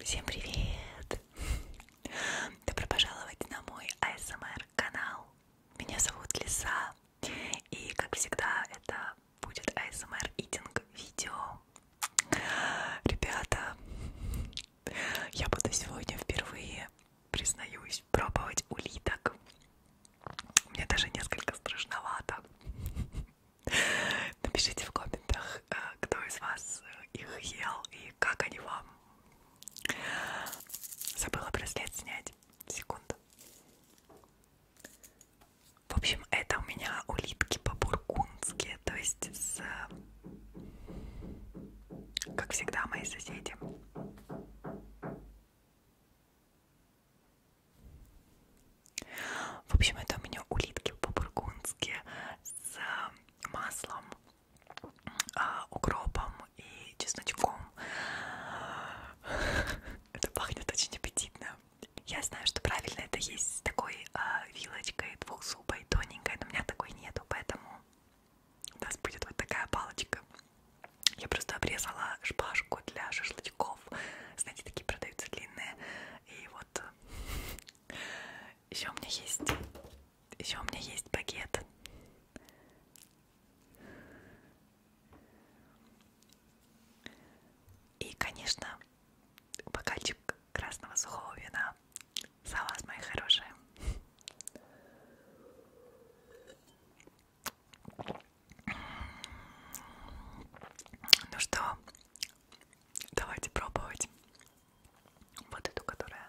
Всем привет! Добро пожаловать на мой ASMR канал. Меня зовут Лиса, и как всегда это будет ASMR eating видео. Ребята, я буду сегодня впервые признаюсь, пробовать улиток. Мне даже несколько страшновато. Напишите в комментах, э, кто из вас э, их ел и как они вам. Забыла браслет снять. Секунду. В общем, это у меня улитки по-бургундски, то есть с... Как всегда, мои соседи. В общем, это у меня улитки по-бургундски с маслом, а, укропом и чесночком. Это пахнет очень аппетитно. Я знаю, что правильно это есть с такой а, вилочкой двухзубой, тоненькой, но у меня такой нету, поэтому у нас будет вот такая палочка. Я просто обрезала шпажку для шашлычков. Знаете, такие продаются длинные. И вот э, еще у меня есть, еще у меня есть багет. И, конечно, бокальчик красного сухого вина. За вас, мои хорошие. Ну что, давайте пробовать вот эту, которая...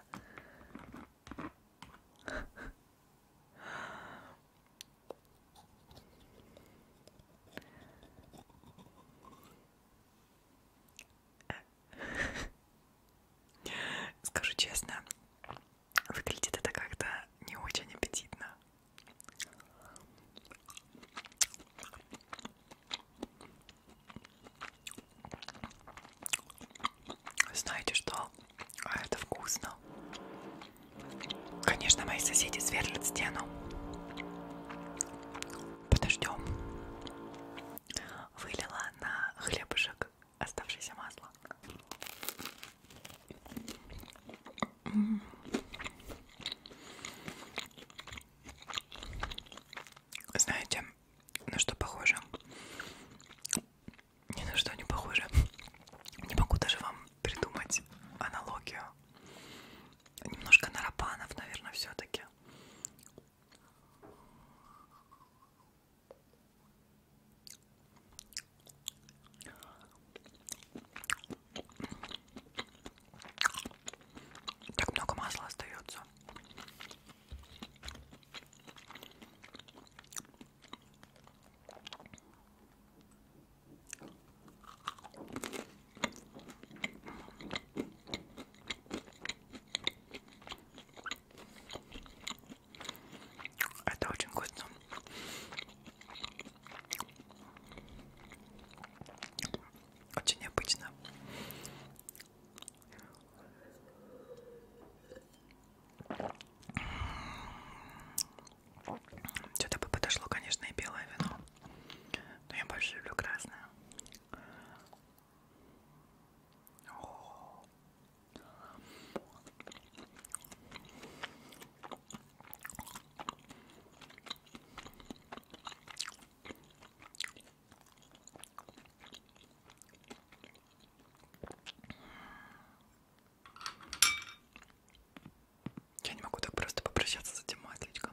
Скажу честно, Выглядит это как-то не очень аппетитно. Знаете что? А это вкусно. Конечно, мои соседи сверлят стену. Подождем. Вылила на хлебушек оставшееся масло. Знаете, на что похоже? Ни на что не похоже. Не могу даже вам придумать аналогию. Немножко на рапанов, наверное, все-таки. Так много масла остается. Это очень вкусно. Очень необычно. Что-то бы подошло, конечно, и белое вино. Но я больше люблю красное. О -о -о. Я не могу так просто попрощаться с этим масличком.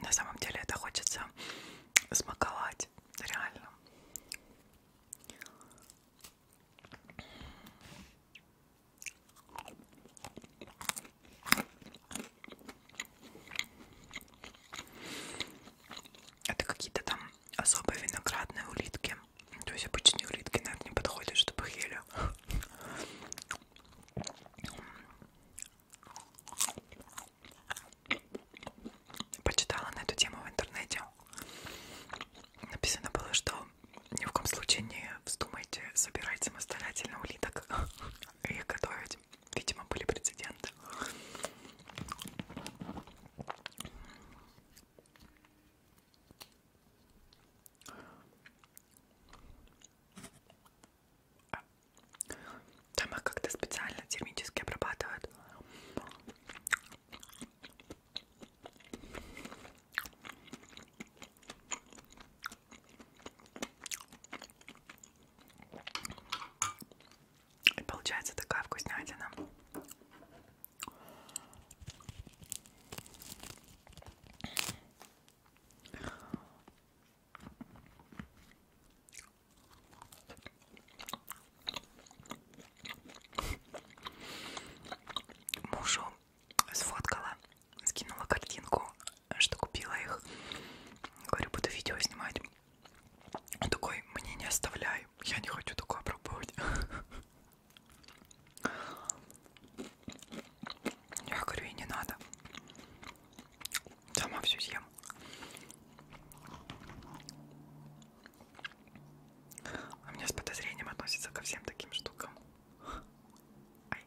На самом деле это хочется смаковать, реально. Это какие-то там особые виноградные улитки. То есть обычные улитки, наверное, не подходят, чтобы их ели. Почитала на эту тему в интернете. Написано было, что ни в коем случае не вздумайте собирать самостоятельно улиток и их готовить. Видимо, были прецеденты. Там их как-то специально термически обрабатывают. И получается такая вкуснятина. Мужу сфоткала, скинула картинку, что купила их. Говорю, буду видео снимать. Он такой, мне не оставляй, я не хочу такое пробовать. Я говорю, и не надо. Сама все съем. А меня с подозрением относится ко всем таким штукам. Ай.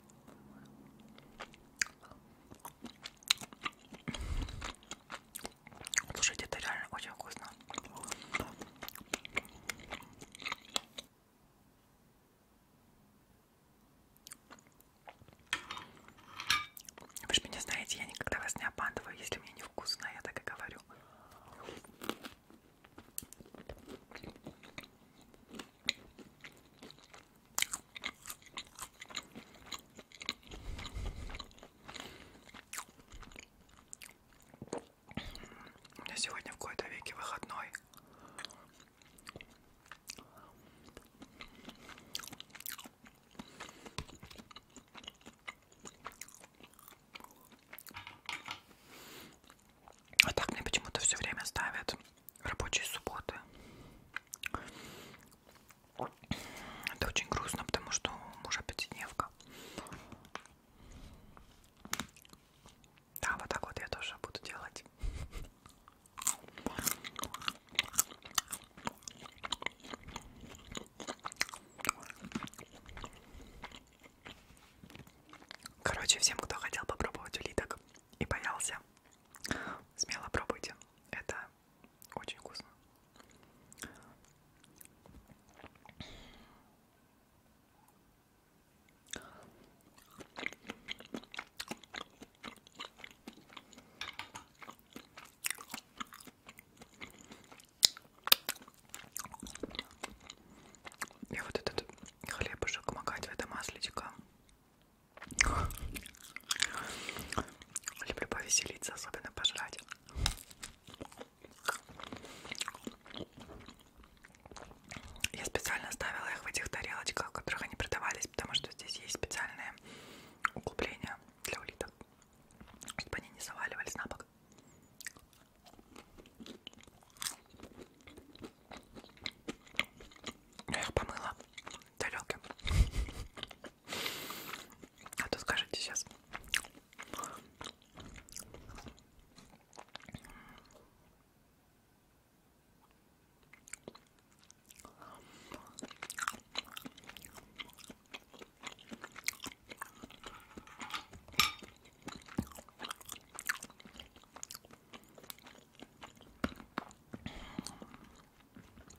Слушайте, это реально очень вкусно. Вы же меня знаете, я никогда вас не обманываю. Если мне невкусно, я так и говорю. У меня сегодня в какой-то веке выходной. А так мне почему-то все время ставят рабочие субботы. Это очень грустно, потому что у мужа пятидневка. Да, вот так вот я тоже буду делать. Короче, всем, кто хотел попробовать улиток и боялся, смело пробуйте. Это очень вкусно. Я вот этот хлебушек макать в это маслечко. Люблю повеселиться, особенно пожрать. Я специально ставила их в этих тарелочках, в которых они продавались, потому что что здесь есть специальные углубления для улиток, чтобы они не заваливались на бок. Я их помыла далеким. А то скажете сейчас.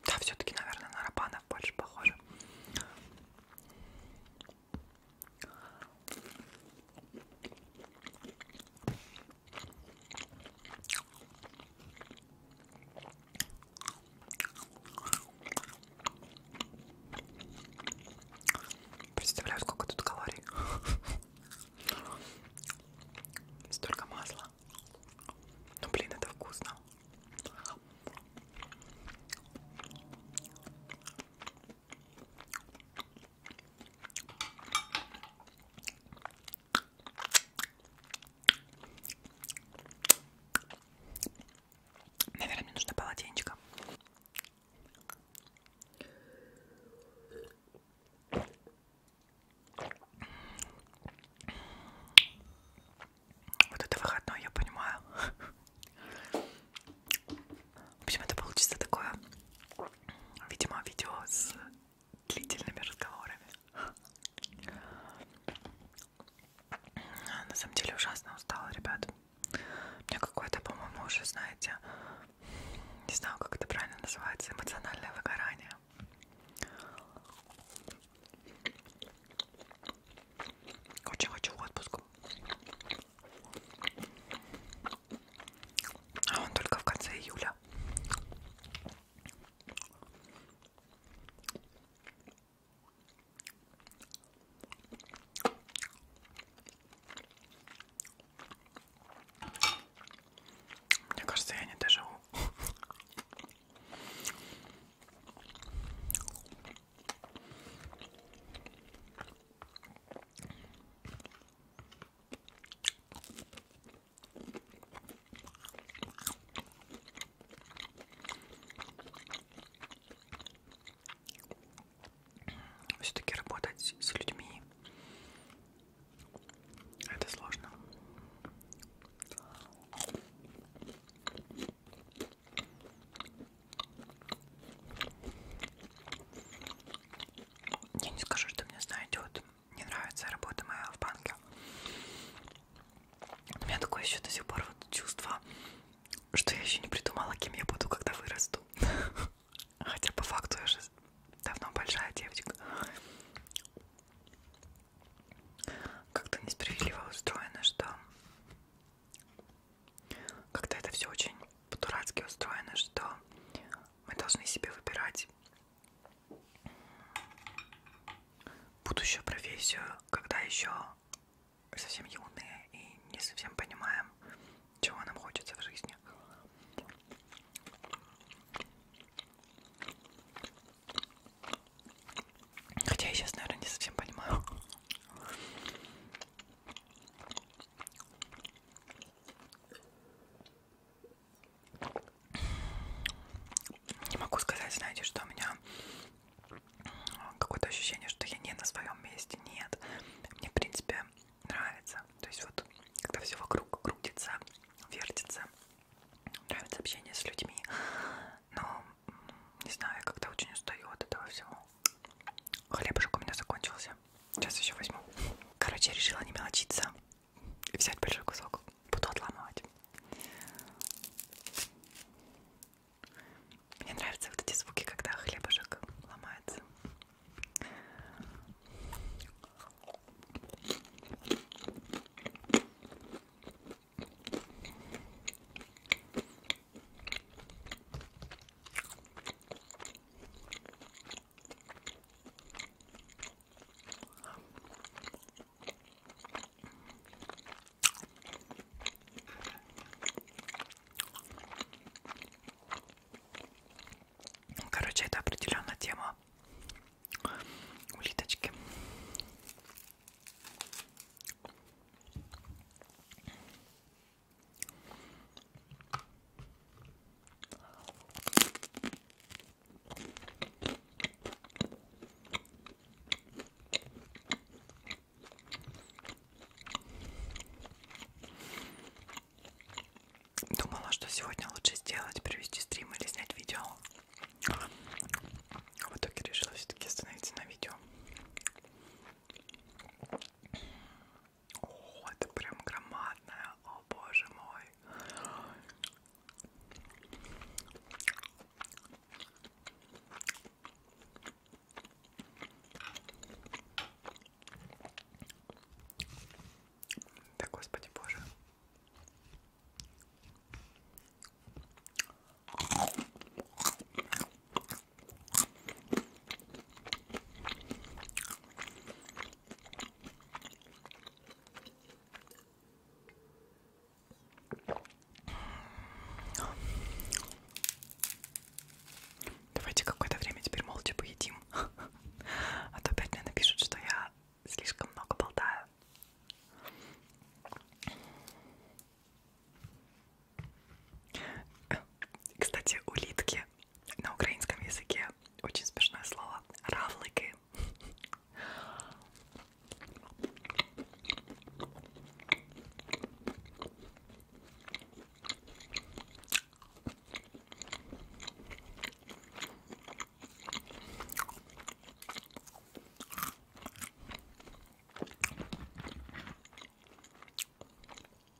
Да, все-таки, наверное, на рапанов больше похоже. Представляю, сколько тут калорий. Столько масла. Ну блин, это вкусно. Наверное, мне нужно полотенечко. Вот это выходной, я понимаю. В общем, это получится такое, видимо, видео с длительными разговорами. А, на самом деле ужасно устала, ребят. У меня какое-то, по-моему, уже, знаете, не знаю, как это правильно называется, эмоциональное выгорание. Очень хочу в отпуск. А он только в конце июля. Мне кажется, я не доживу. Все-таки работать с людьми это сложно. Я не скажу, что мне знаете, вот не нравится работа моя в банке. У меня такое еще до сих пор вот чувство, что я еще не придумала, кем я буду, когда вырасту. Хотя по факту я же давно большая девочка. Как-то несправедливо устроено, что как-то это все очень по-дурацки устроено, что мы должны себе выбирать будущую профессию, когда еще совсем юные и не совсем понимаем, чего нам хочется в жизни. Хотя я сейчас, наверное, не совсем понимаю не могу сказать, знаете, что у меня а, какое-то ощущение, что я не на своем месте, нет. Мне, в принципе, нравится. То есть вот, когда все вокруг крутится, вертится, нравится общение с людьми. Но, не знаю, когда очень устаю от этого всего. Хлебушек у меня закончился. Сейчас еще возьму. Короче, я решила не мелочиться взять большой кусок, буду отламывать. Мне нравятся вот эти звуки, когда хлебушек ломается. Короче, это определенная тема улиточки. Думала, что сегодня лучше сделать, привести стрим или снять видео. А в итоге решила все-таки остановиться на видео. О, это прям громадная, о боже мой. Да господи боже. Давайте какое-то время теперь молча поедим. А то опять мне напишут, что я слишком много болтаю. Кстати, улитки на украинском языке такое очень смешное слово. Равлыки.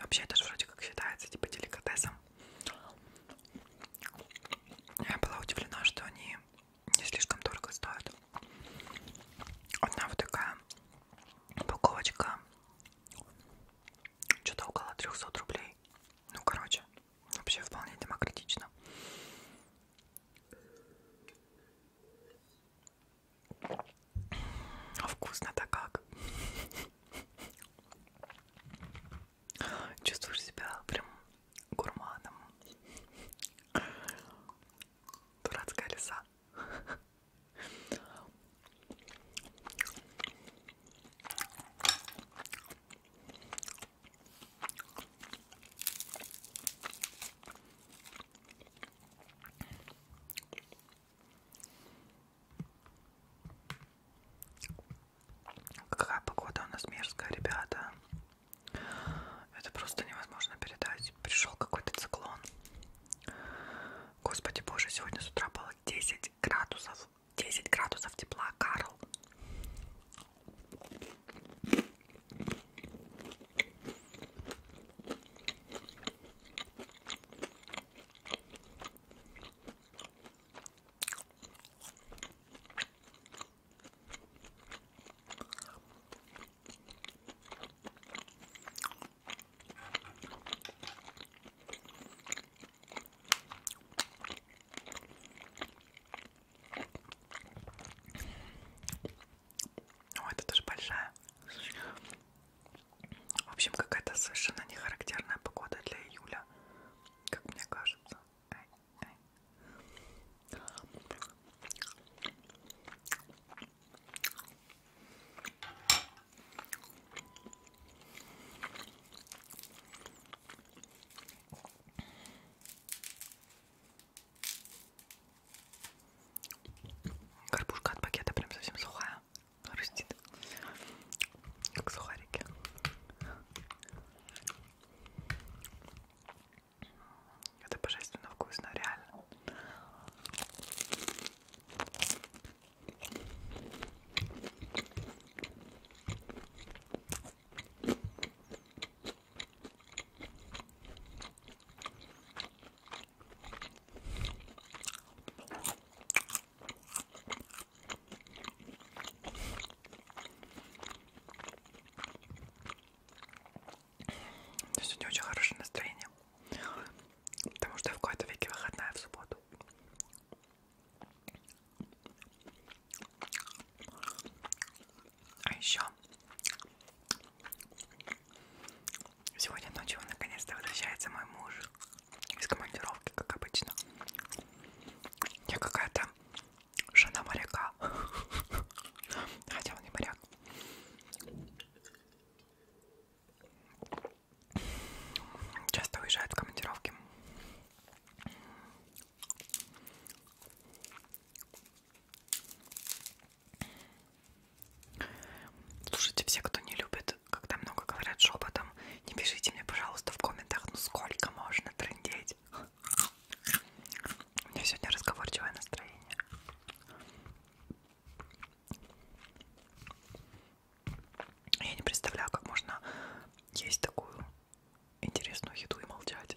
Вообще это же вроде как считается типа деликатесом. Я была удивлена, что они не слишком дорого стоит. Одна вот такая упаковочка, что-то около 300 рублей. Ну, короче, вообще вполне демократично. А вкусно-то как? Чувствуешь себя прям гурманом. Дурацкая лиса. Какая погода у нас мерзкая, ребята. Это просто невозможно передать. Пришел какой-то циклон. Господи боже, сегодня с утра было 10 градусов. 10 градусов тепла, Карл. О, это тоже большая. В общем, какая-то совершенно нехарактерная погода для июля, как мне кажется. Горбушка от пакета прям совсем сухая, хрустит, как сухарики. Это божественно вкусно, реально. Сегодня очень хорошее настроение, потому что в какой-то веке выходная в субботу. А еще сегодня ночью наконец-то возвращается мой муж из командировки, как обычно. Я какая-то жена моряка. Хотя он не моряк. Часто уезжает в командировки. Слушайте, все, кто не любит, когда много говорят шепотом, не пишите мне, пожалуйста, в комментах, ну сколько можно трындеть. У меня сегодня разговорчивое настроение. Я не представляю, как можно есть такую интересную еду и молчать.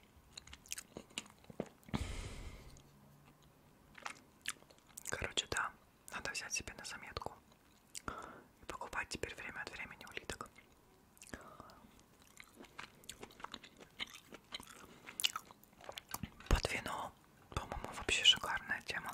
Короче, да, надо взять себе на заметку и покупать теперь время от времени улиток. Под вино, по-моему, вообще шикарная тема.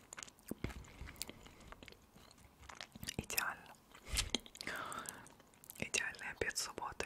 Идеально. Идеальный обед субботы.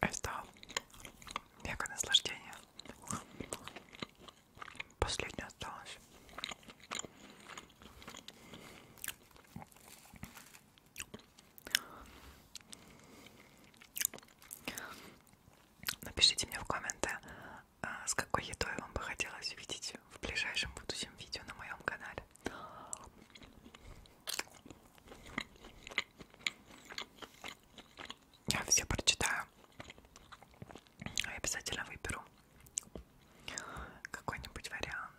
Это мега наслаждение. Последнее осталось. Напишите мне в комменты, э, с какой едой вам бы хотелось видеть в ближайшем будущем видео на моем канале. Я все прочитаю. Я обязательно выберу какой-нибудь вариант.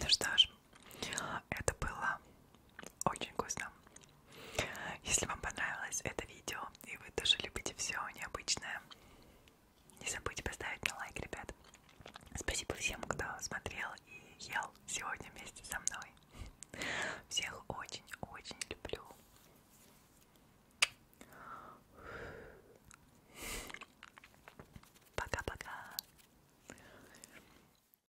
Ну что ж, это было очень вкусно. Если вам понравилось это видео и вы тоже любите все необычное, не забудьте поставить мне лайк, ребят. Спасибо всем, кто смотрел и ел сегодня вместе со мной. Всех очень-очень люблю. Пока-пока.